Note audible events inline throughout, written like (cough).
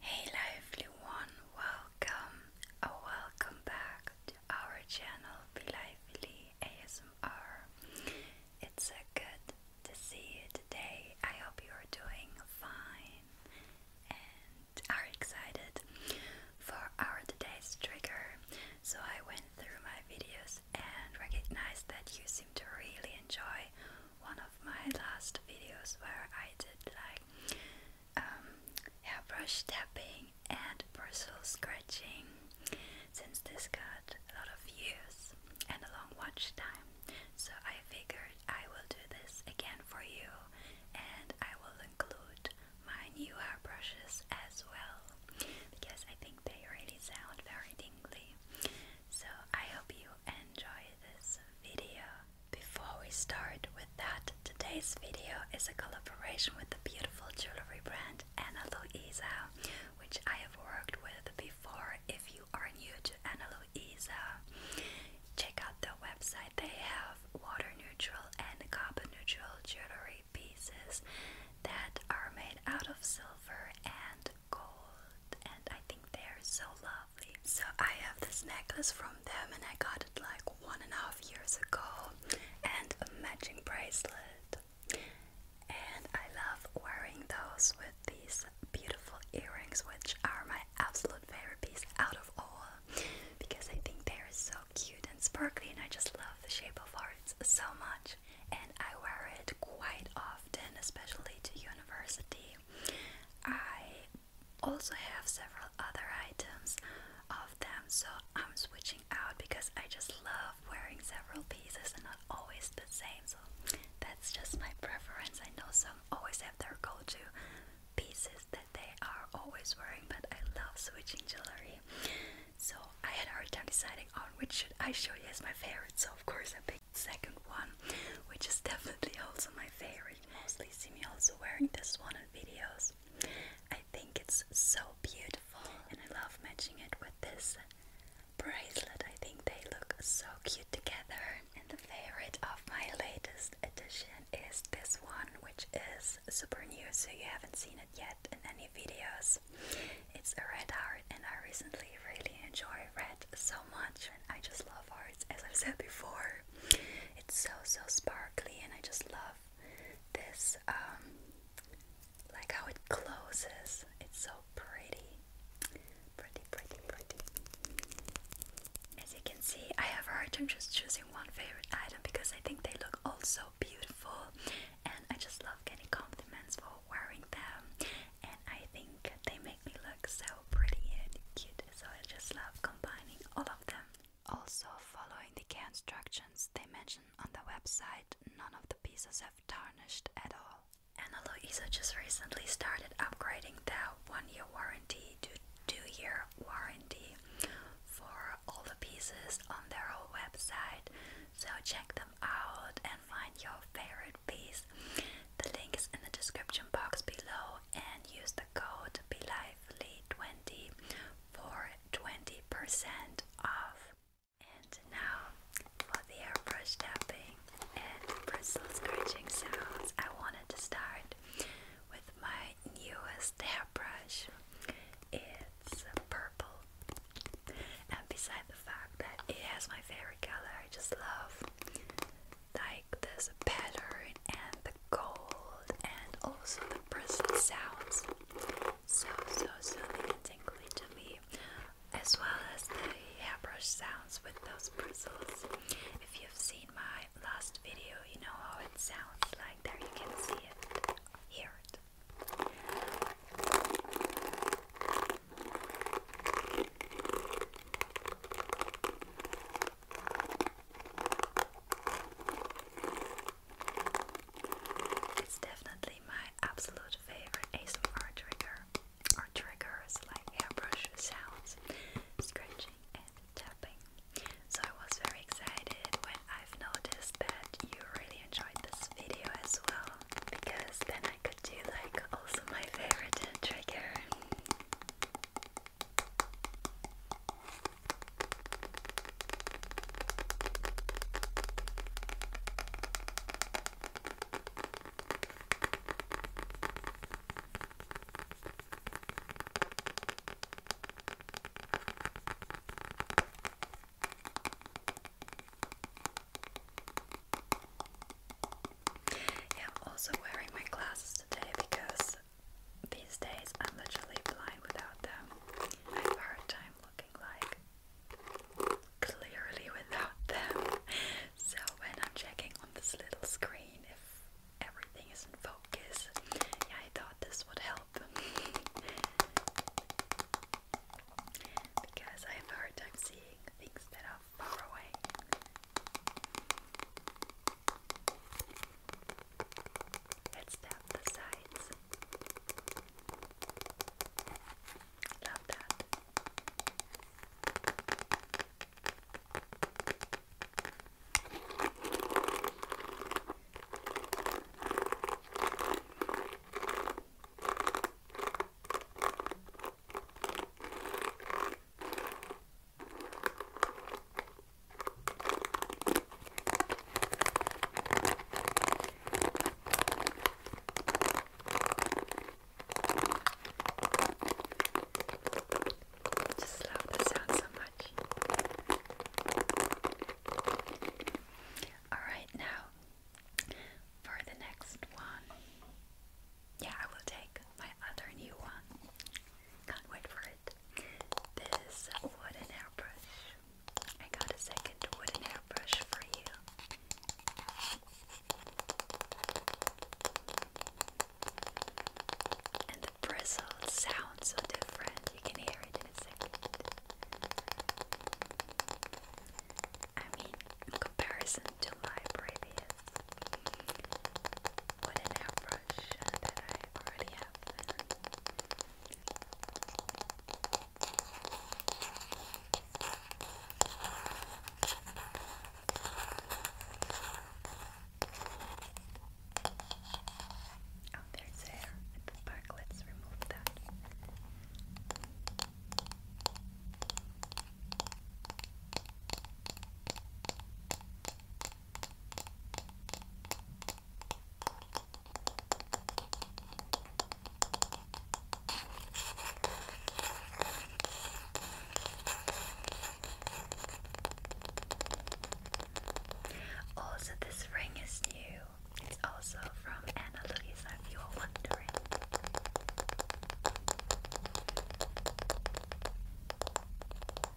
Hey lovely one, welcome or welcome back to our channel Be ASMR. It's so good to see you today. I hope you're doing fine and are excited for our today's trigger. So I went through my videos and recognized that you seem to really enjoy one of my last videos where I did like like um, hairbrush tapping and bristle scratching since this got a lot of views and a long watch time. So I figured I will do this again for you and I will include my new hairbrushes as well because I think they really sound very tingly. So I hope you enjoy this video before we start with that, today's video is a collaboration with the beautiful jewelry brand Ana Luisa, which I have worked with before. If you are new to Ana Luisa, check out the website. They have water neutral and carbon neutral jewelry pieces that are made out of silver and gold, and I they're so lovely. So I have this necklace from them and I got it like one and a half years ago and a matching bracelet. And I love wearing those with these beautiful earrings which are my absolute favorite piece out of all because I think they are so cute and sparkly and I just love the shape of hearts so much and I wear it quite often especially to university. I also have several other items of them, so I'm switching out because I just love wearing several pieces and not always the same. So that's just my preference. I know some always have their go to pieces that they are always wearing, but I love switching jewelry. So I had a hard time deciding on which should I show you as my favorite. So of course I picked second one, which is (laughs) definitely also my favorite you mostly see me also wearing this one in videos. I think it's so beautiful and I love matching it with this bracelet. I think they look so cute together. And the favorite of my latest edition is this one, which is super new, so you haven't seen it yet in any videos. It's a red heart and I recently really enjoy red so much and I just love hearts cards, as I've said before. It's so so sparkly, and I just love this, um, like how it closes. It's so pretty, pretty, pretty, pretty. As you can see, I have a hard time just choosing one favorite item because I think they look all so beautiful, and I just love getting compliments for wearing them. And I think they make me look so pretty and cute, so I just love combining all of them. Also, following the care instructions they mention on the website, none of the pieces have tarnished at all. And although just recently started upgrading their one year warranty to two year warranty for all the pieces on their whole website, so check them out and find your favorite piece. The link is in the description box below and use the code BeLively20 for 20% off. And now for the airbrush tapping and bristles scratching sounds, I wanted to start with my newest hairbrush. It's purple. And beside the fact that it has my favorite color, I just love like this pattern and the gold and also the bristle sounds. So, so, so tingly As well as the hairbrush sounds with those bristles. If you've seen my last video, you know how it sounds like. There you can see it, hear it. It's definitely my absolute favorite ASMR trigger or triggers like airbrush sounds, scratching and tapping. So I was very excited when I've noticed that you really enjoyed this video as well because then I could do like also my (laughs) favorite trigger. Yeah, I'm also wearing my glasses today because these days I'm literally blind without them. I have a hard time looking like clearly without them. So when I'm checking on this little screen if everything is in focus, I thought this would help. (laughs) because I have a hard time seeing things that are far away. Let's tap the sides. Love that. Just love the sound so much. All right, now for the next one yeah, I will take my other new one. Can't wait for it. This wooden airbrush. I got a second wooden airbrush for you. And the bristle sounds so different. You can hear it in a second. I mean, comparison to my previous with an airbrush that I already have. Oh, there's hair at the back. Let's remove that. Also, this ring is new. It's also from Anna Louisa, if you're wondering. Now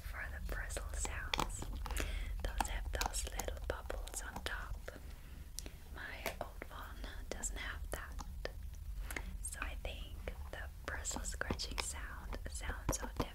for the bristle sounds. Those have those little bubbles on top. My old one doesn't have that. So I think the bristle scratching sound sounds so different.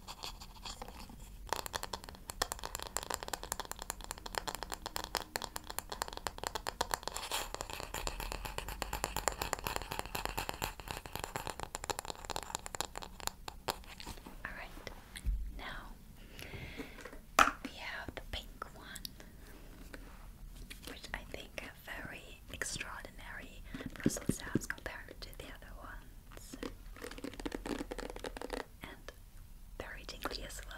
All right, now we have the pink one, which I think are very extraordinary Brussels sprouts compared to the other ones. And very tingly as well.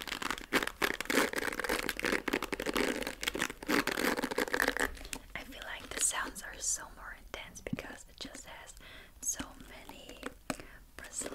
I feel like the sounds are so more intense because it just has so many bristles.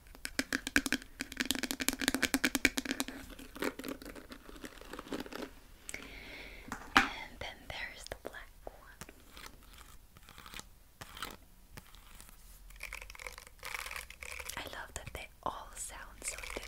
And then there's the black one. I love that they all sound so different.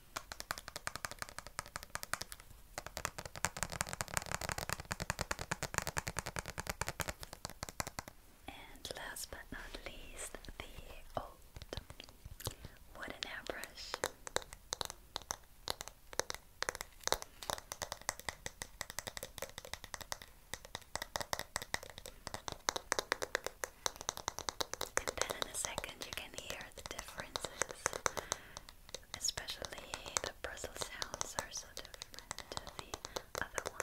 And last but not least, the old wooden airbrush. And then in a second you can hear the differences. Especially the bristle sounds are so different to the other one.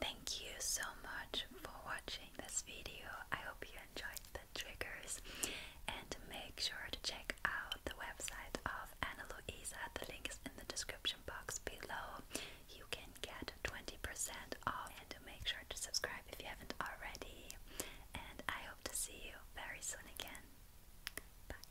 Thank you so much for watching this video. I hope you enjoyed the triggers and make sure to check out the website of Ana Luisa. The link is in the description box below. You can get 20% off and make sure to subscribe if you haven't already. And I hope to see you very soon again. Bye.